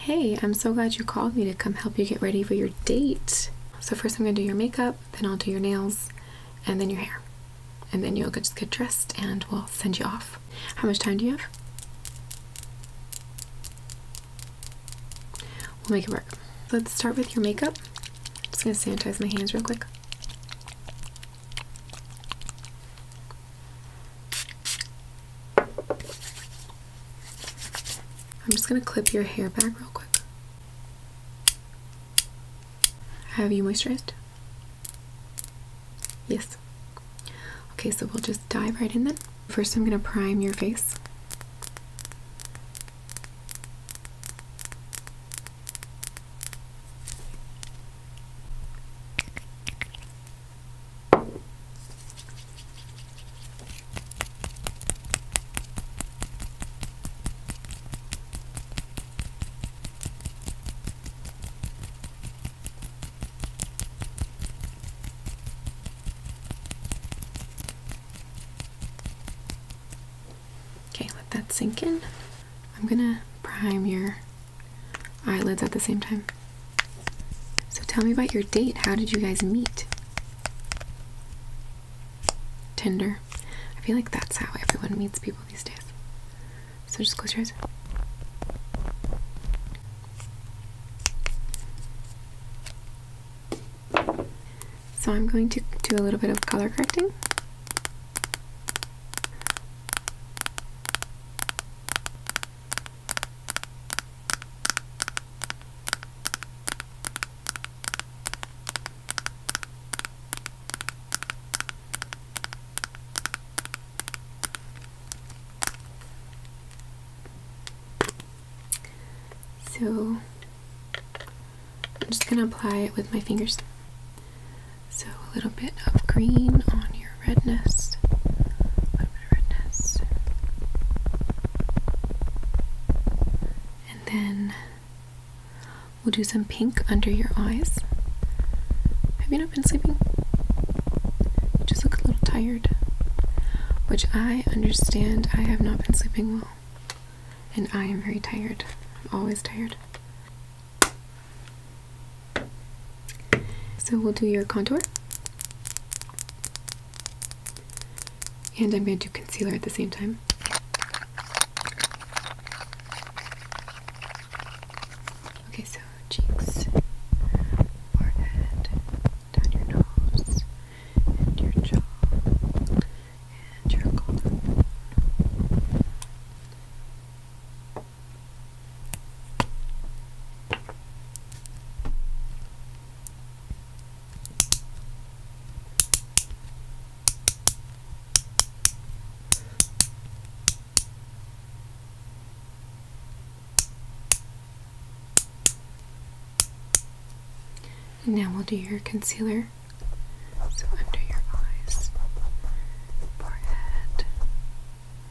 Hey, I'm so glad you called me to come help you get ready for your date. So, first, I'm going to do your makeup, then, I'll do your nails, and then your hair. And then you'll just get dressed and we'll send you off. How much time do you have? We'll make it work. Let's start with your makeup. I'm just going to sanitize my hands real quick. I'm just gonna clip your hair back real quick. Have you moisturized? Yes. Okay, so we'll just dive right in then. First, I'm gonna prime your face. Okay, let that sink in. I'm gonna prime your eyelids at the same time. So tell me about your date. How did you guys meet? Tinder. I feel like that's how everyone meets people these days. So just close your eyes. So I'm going to do a little bit of color correcting. So I'm just going to apply it with my fingers. So a little bit of green on your redness. A bit of redness. And then we'll do some pink under your eyes. Have you not been sleeping? You just look a little tired. Which I understand, I have not been sleeping well. And I am very tired. I'm always tired. So we'll do your contour. And I'm going to do concealer at the same time. Okay, so cheeks, forehead, down your nose, and your jaw, and your collarbone now we'll do your concealer. So under your eyes, forehead,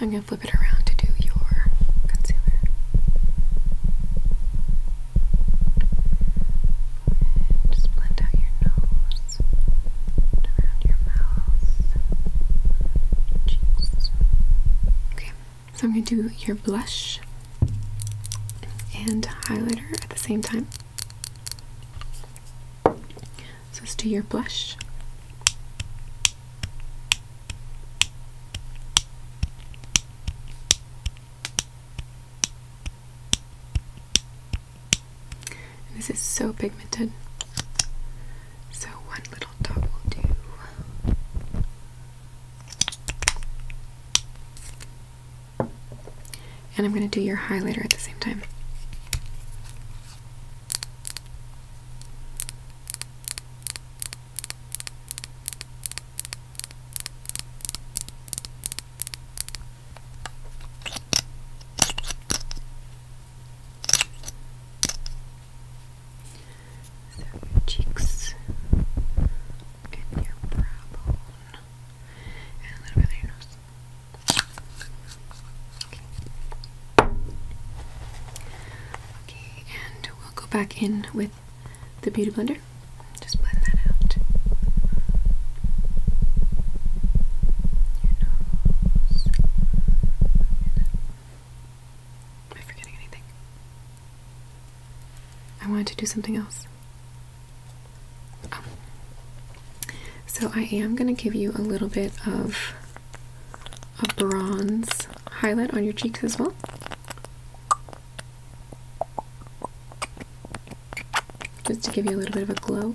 I'm going to flip it around to do your concealer. just blend out your nose. Okay, so I'm going to do your blush and highlighter at the same time. So let's do your blush. And this is so pigmented. So one little dot will do. And I'm going to do your highlighter at the same time. So your cheeks and your brow bone and a little bit of your nose. Okay. and we'll go back in with the beauty blender. Just blend that out your Am I forgetting anything? I wanted to do something else. Oh. So I am going to give you a little bit of a bronze highlight on your cheeks as well. Just to give you a little bit of a glow.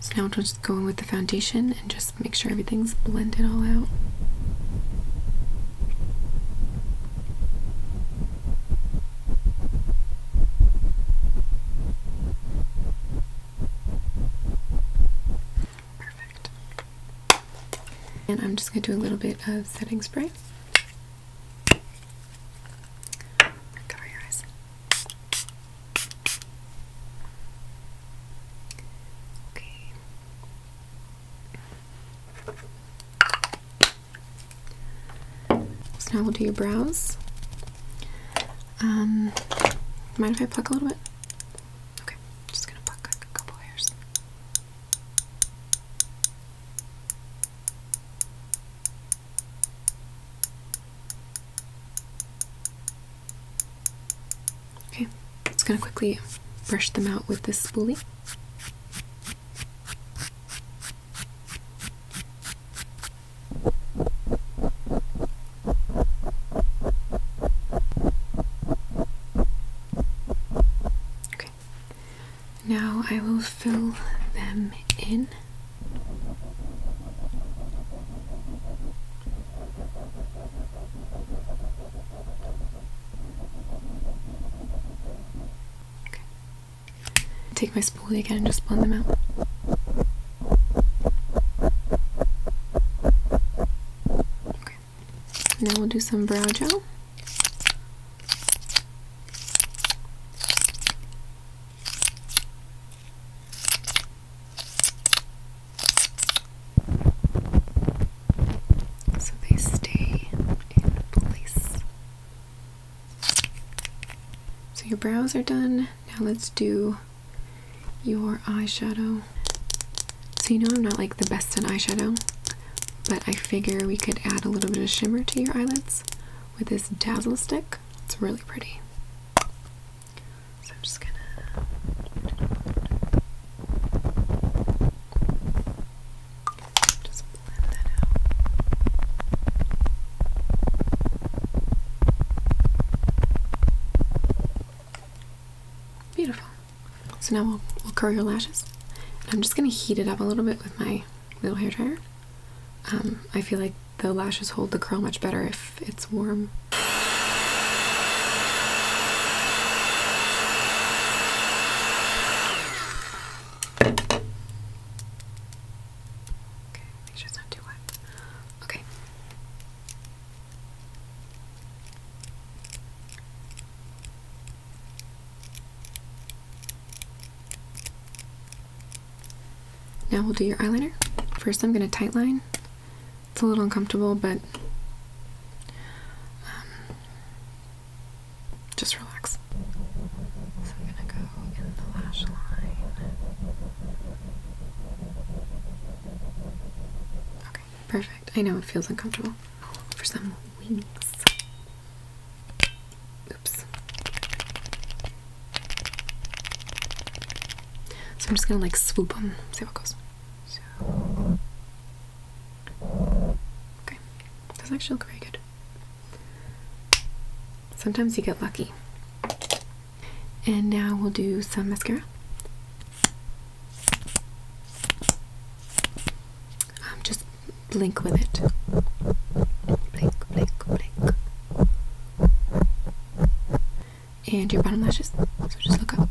So now i am just going with the foundation and just make sure everything's blended all out. Perfect. And I'm just going to do a little bit of setting spray. Cover your eyes. Okay. So now we'll do your brows. Um, mind if I pluck a little bit? Okay, just gonna pluck a couple hairs. Okay, it's gonna quickly brush them out with this spoolie. Now I will fill them in. Take my spoolie again and just blend them out. Okay. Now we'll do some brow gel. So they stay in place. So your brows are done. Now let's do your eyeshadow. So you know I'm not like the best at eyeshadow. But I figure we could add a little bit of shimmer to your eyelids with this dazzle stick. It's really pretty. So I'm just gonna just blend that out. Beautiful. So now we'll, curl your lashes. I'm just gonna heat it up a little bit with my little hair dryer. Um, I feel like the lashes hold the curl much better if it's warm. make sure it's not too wet. Okay. Now we'll do your eyeliner. First I'm going to tightline. It's a little uncomfortable, but um, just relax. So I'm going to go in the lash line. Okay, perfect. I know it feels uncomfortable. For some wings. Oops. So I'm just gonna like swoop them, see what goes. Okay, does actually look very good. Sometimes you get lucky. And now we'll do some mascara. Um, just blink with it. Blink, blink, blink. And your bottom lashes. So just look up.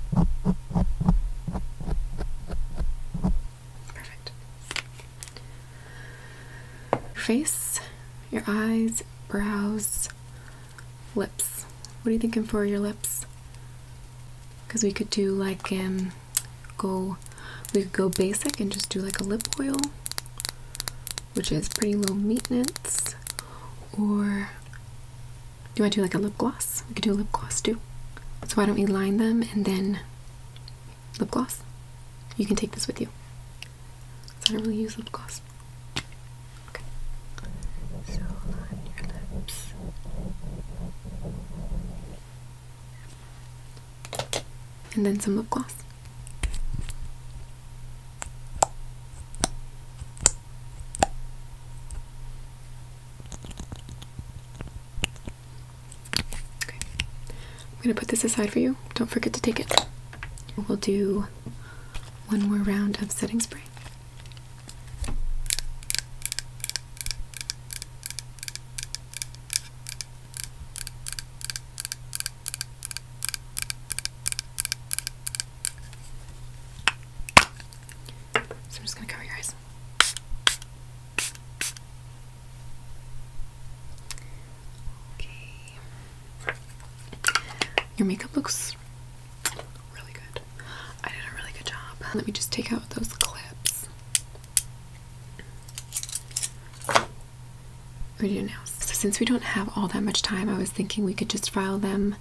Perfect. face, your eyes, brows, lips. What are you thinking for your lips? Because we could do like um go we could go basic and just do like a lip oil which is pretty low maintenance or do I do like a lip gloss? We could do a lip gloss too. So why don't we line them and then lip gloss? You can take this with you. I don't really use lip gloss. Okay and then some lip gloss. Okay. I'm gonna put this aside for you. Don't forget to take it. We'll do one more round of setting spray. So I'm just going to cover your eyes. Okay. Your makeup looks really good. I did a really good job. Let me just take out those clips do you now? So since we don't have all that much time, I was thinking we could just file them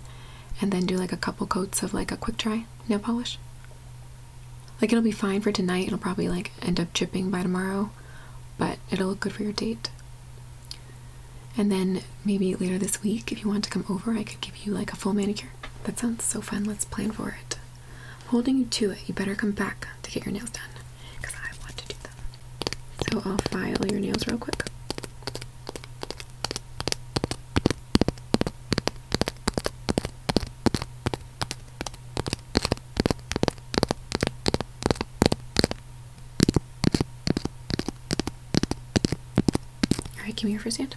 and then do like a couple coats of like a quick dry nail polish. Like it'll be fine for tonight. It'll probably like end up chipping by tomorrow, but it'll look good for your date. And then maybe later this week, if you want to come over, I could give you like a full manicure. That sounds so fun. Let's plan for it holding you to it. You better come back to get your nails done I want to do them. So I'll file your nails real quick. Alright, give me your first hand.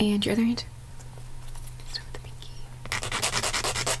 And your other hand. Start with the pinky.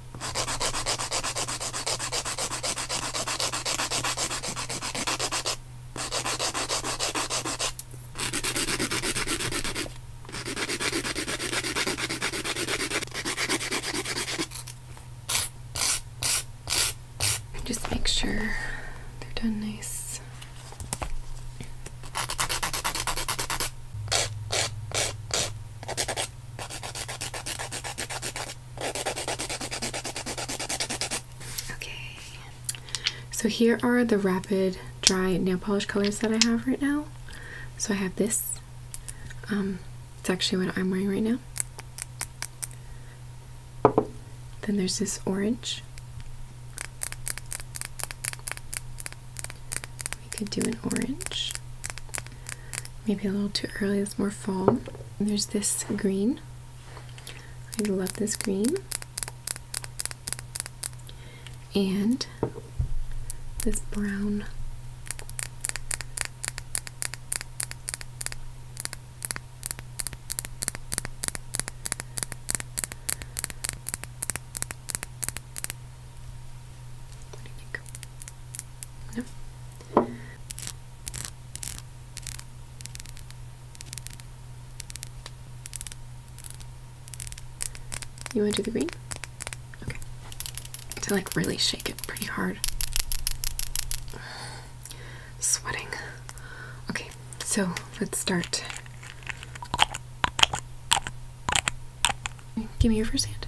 Just make sure they're done nice. Okay, so here are the rapid dry nail polish colors that I have right now. So I have this. Um, it's actually what I'm wearing right now. Then there's this orange. We could do an orange maybe a little too early, it's more fall. there's this green. I love this green. And this brown. You want to do the green? Okay. To like really shake it pretty hard. Sweating. Okay, so let's start. Give me your first hand.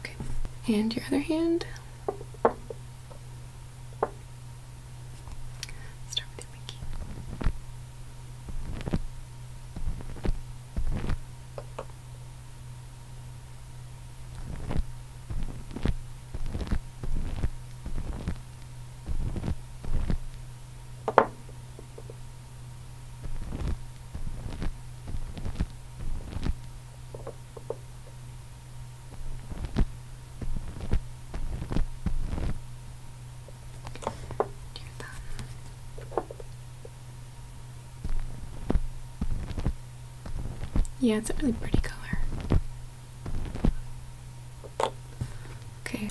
Okay, and your other hand. Start with your pinky. Yeah, it's a really pretty color. Okay,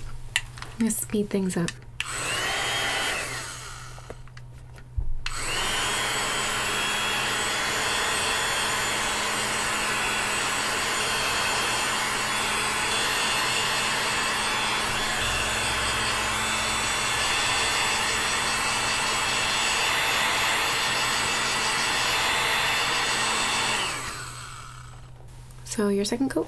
let's speed things up. So your second coat?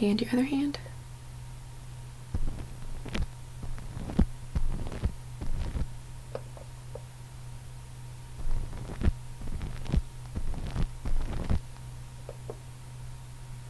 And your other hand.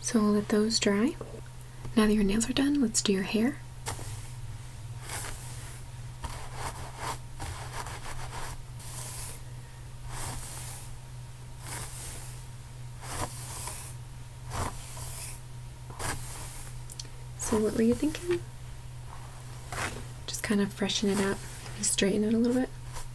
So we'll let those dry. Now that your nails are done, let's do your hair. So what were you thinking? Just kind of freshen it up straighten it a little bit.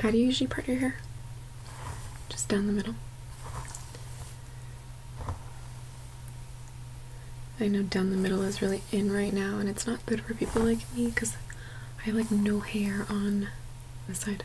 How do you usually part your hair? Just down the middle. I know down the middle is really in right now, and it's not good for people like me because I have like no hair on this side.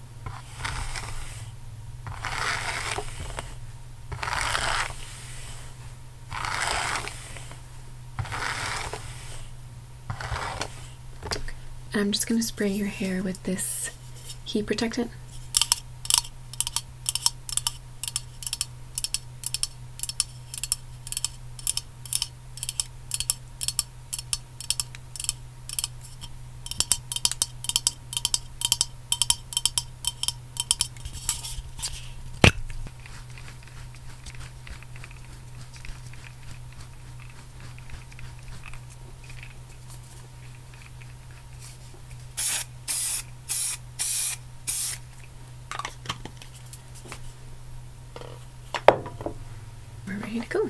I'm just going to spray your hair with this heat protectant. We're ready to go.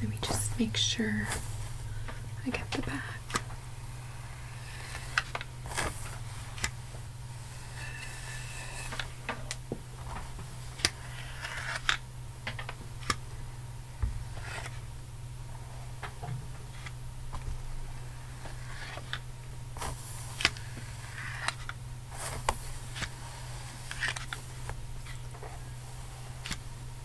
Let me just make sure I get the back.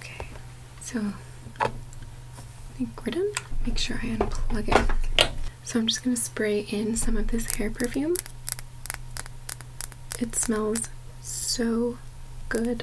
Okay, so I think we're Make sure I unplug it. So I'm just going to spray in some of this hair perfume. It smells so good.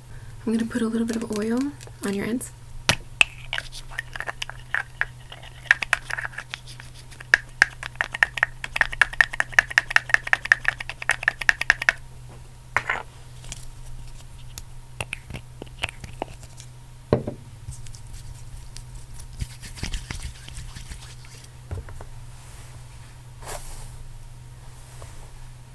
I'm going to put a little bit of oil on your ends.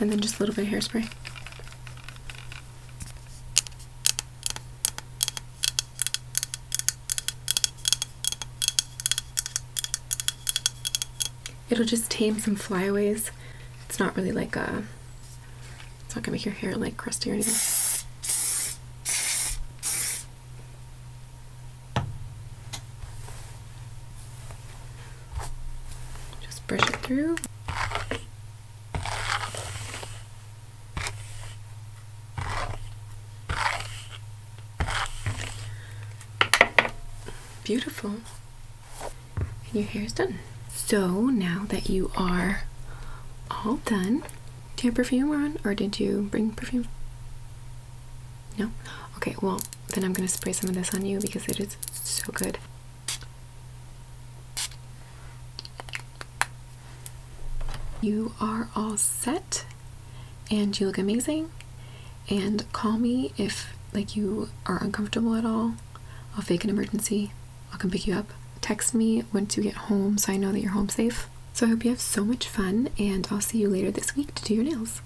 and then just a little bit of hairspray. It'll just tame some flyaways. It's not really like a, uh, it's not gonna make your hair like crusty or anything. Just brush it through. Beautiful. And your hair is done. So now that you are all done, do you have perfume on or did you bring perfume? No? Okay, well, then I'm gonna spray some of this on you because it is so good. You are all set and you look amazing. And call me if like you are uncomfortable at all. I'll fake an emergency. I'll come pick you up. Text me once you get home so I know that you're home safe. So I hope you have so much fun and I'll see you later this week to do your nails.